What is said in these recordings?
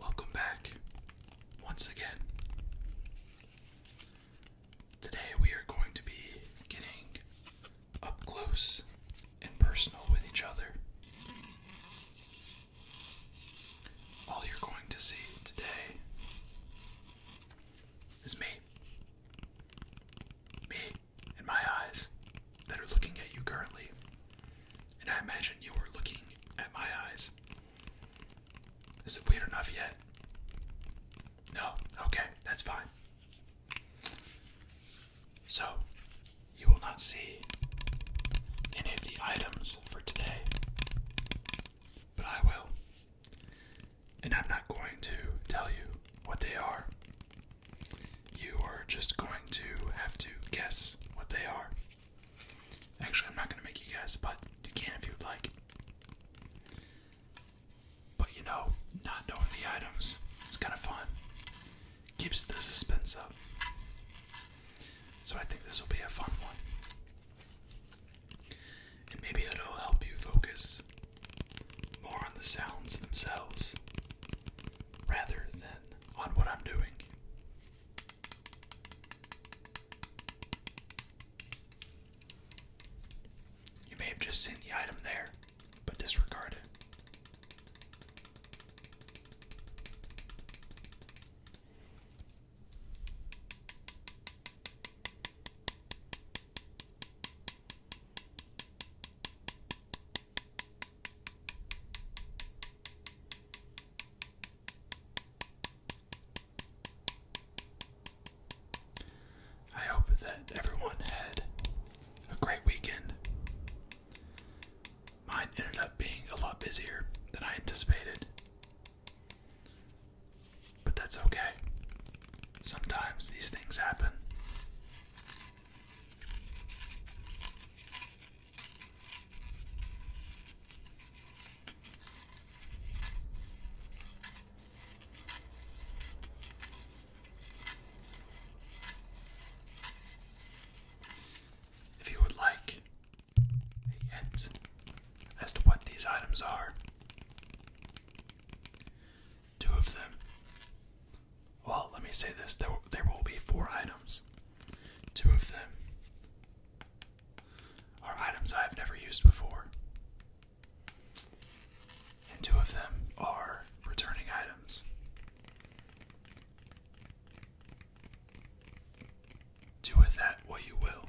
Welcome back once again. Today we are going to be getting up close and personal with each other. All you're going to see today is me. Me in my eyes that are looking at you currently. And I imagine you are looking at my eyes. Is it weird enough yet? No? Okay, that's fine. So, you will not see any of the items for today, but I will. And I'm not going to tell you what they are you are just going to have to guess what they are. Actually, I'm not going to make you guess, but you can if you'd like. But you know, not knowing the items is kind of fun. Keeps the suspense up. So I think this will be a fun one. And maybe it'll help you focus more on the sounds themselves rather than on what I'm doing. You may have just seen the item there, but disregard it. I hope that everyone had a great weekend. Mine ended up being a lot busier than I anticipated. But that's okay. Sometimes these things happen. If you would like a as to what these items are, two of them well, let me say this: there will be four items. Two of them are items I have never used before, and two of them are returning items. Do with that what you will.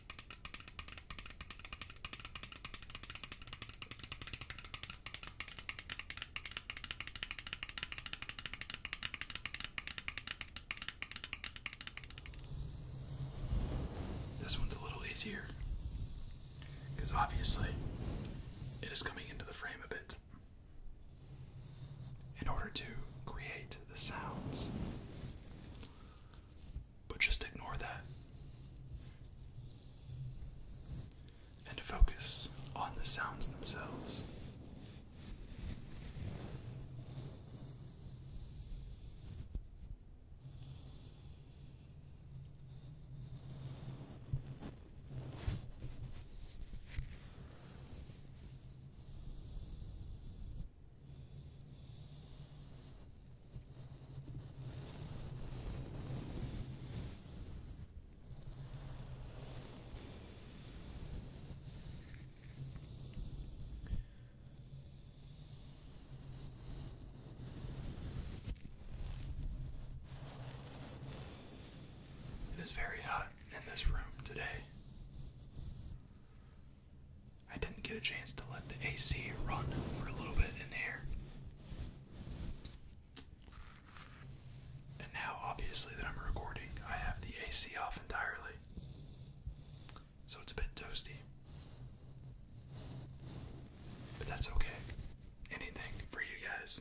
This one's a little easier because obviously it is coming into the frame a bit. In order to create the sounds, but just ignore that and focus on the sounds themselves. It is very hot in this room today. I didn't get a chance to let the AC run for a little bit in here. And now, obviously, that I'm recording, I have the AC off entirely. So it's a bit toasty. But that's okay. Anything for you guys.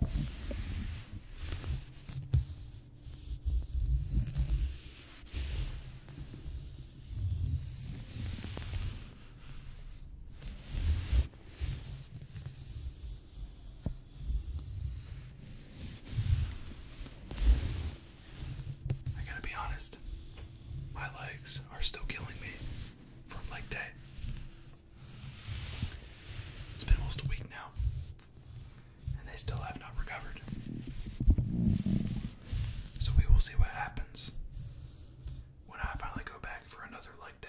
I gotta be honest, my legs are still killing me from leg day. It's been almost a week now, and they still have not recovered. So we will see what happens when I finally go back for another leg day.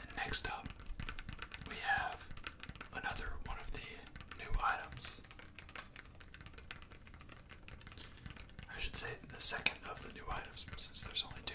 And next up, we have another one of the new items. I should say the second of the new items since there's only two.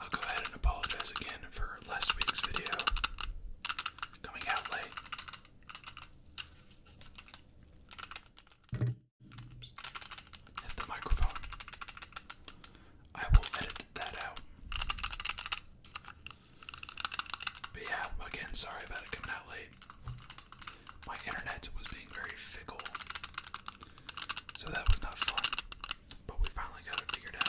I'll go ahead and apologize again for last week's video coming out late. Oops. Hit the microphone. I will edit that out. But yeah, again, sorry about it coming out late. My internet was being very fickle, so that was not fun. But we finally got it figured out.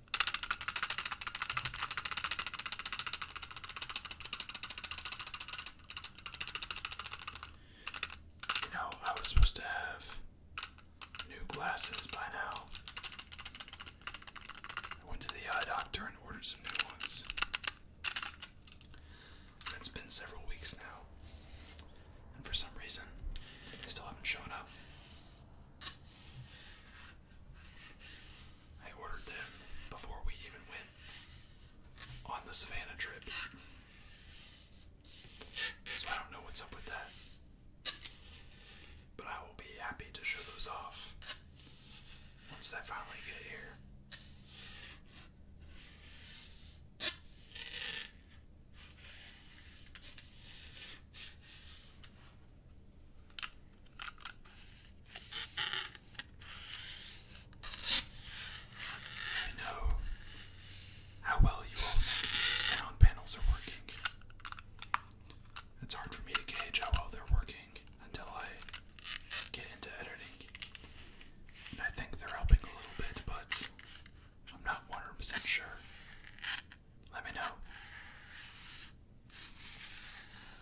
You know, I was supposed to have new glasses by now. I went to the eye doctor and ordered some new ones. It's been several weeks now, and for some reason, they still haven't shown up. I ordered them before we even went on the Savannah trip. So I don't know what's up with that. But I will be happy to show those off once they finally get here. I know how well you sound panels are working. It's hard for me to gauge how well they're working until I get into editing. And I think they're helping a little bit, but I'm not 100% sure. Let me know.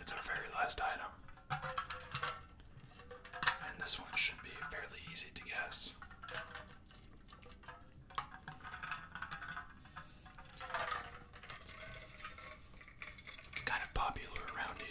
It's our very last item. And this one should be fairly easy to guess. It's kind of popular around here.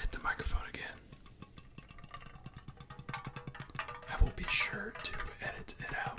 Hit the microphone again. I will be sure to edit it out.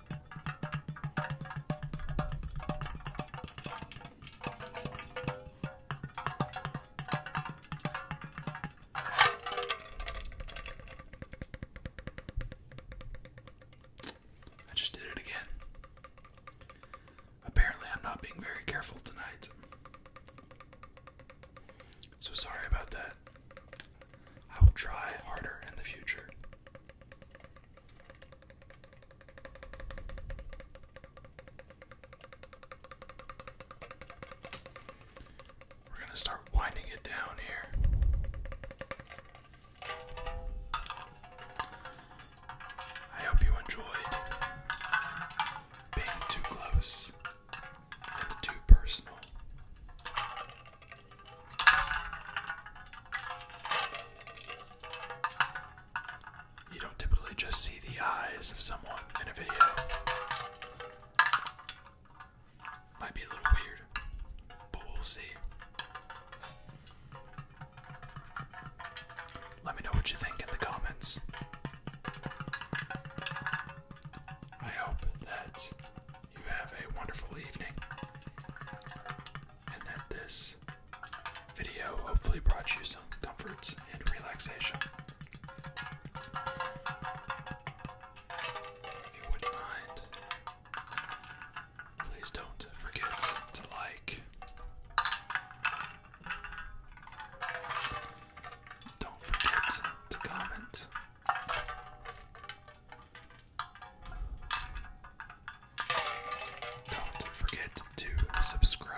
I just did it again. Apparently, I'm not being very careful tonight. So sorry about that. I will try harder in the future. We're going to start winding it down here. I hope you enjoyed being too close too personal. You don't typically just see the eyes of someone in a video. Might be a little weird, but we'll see. Let me know what you think in the comments. I hope that you have a wonderful evening and that this video hopefully brought you some comforts and relaxation. you wouldn't mind, please don't forget to like. Don't forget to comment. Don't forget to subscribe.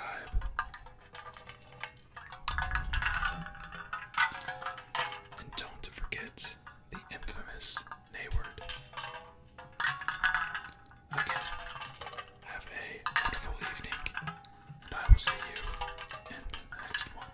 And don't forget the infamous Nayword. Again, have a wonderful evening, and I will see you in the next one.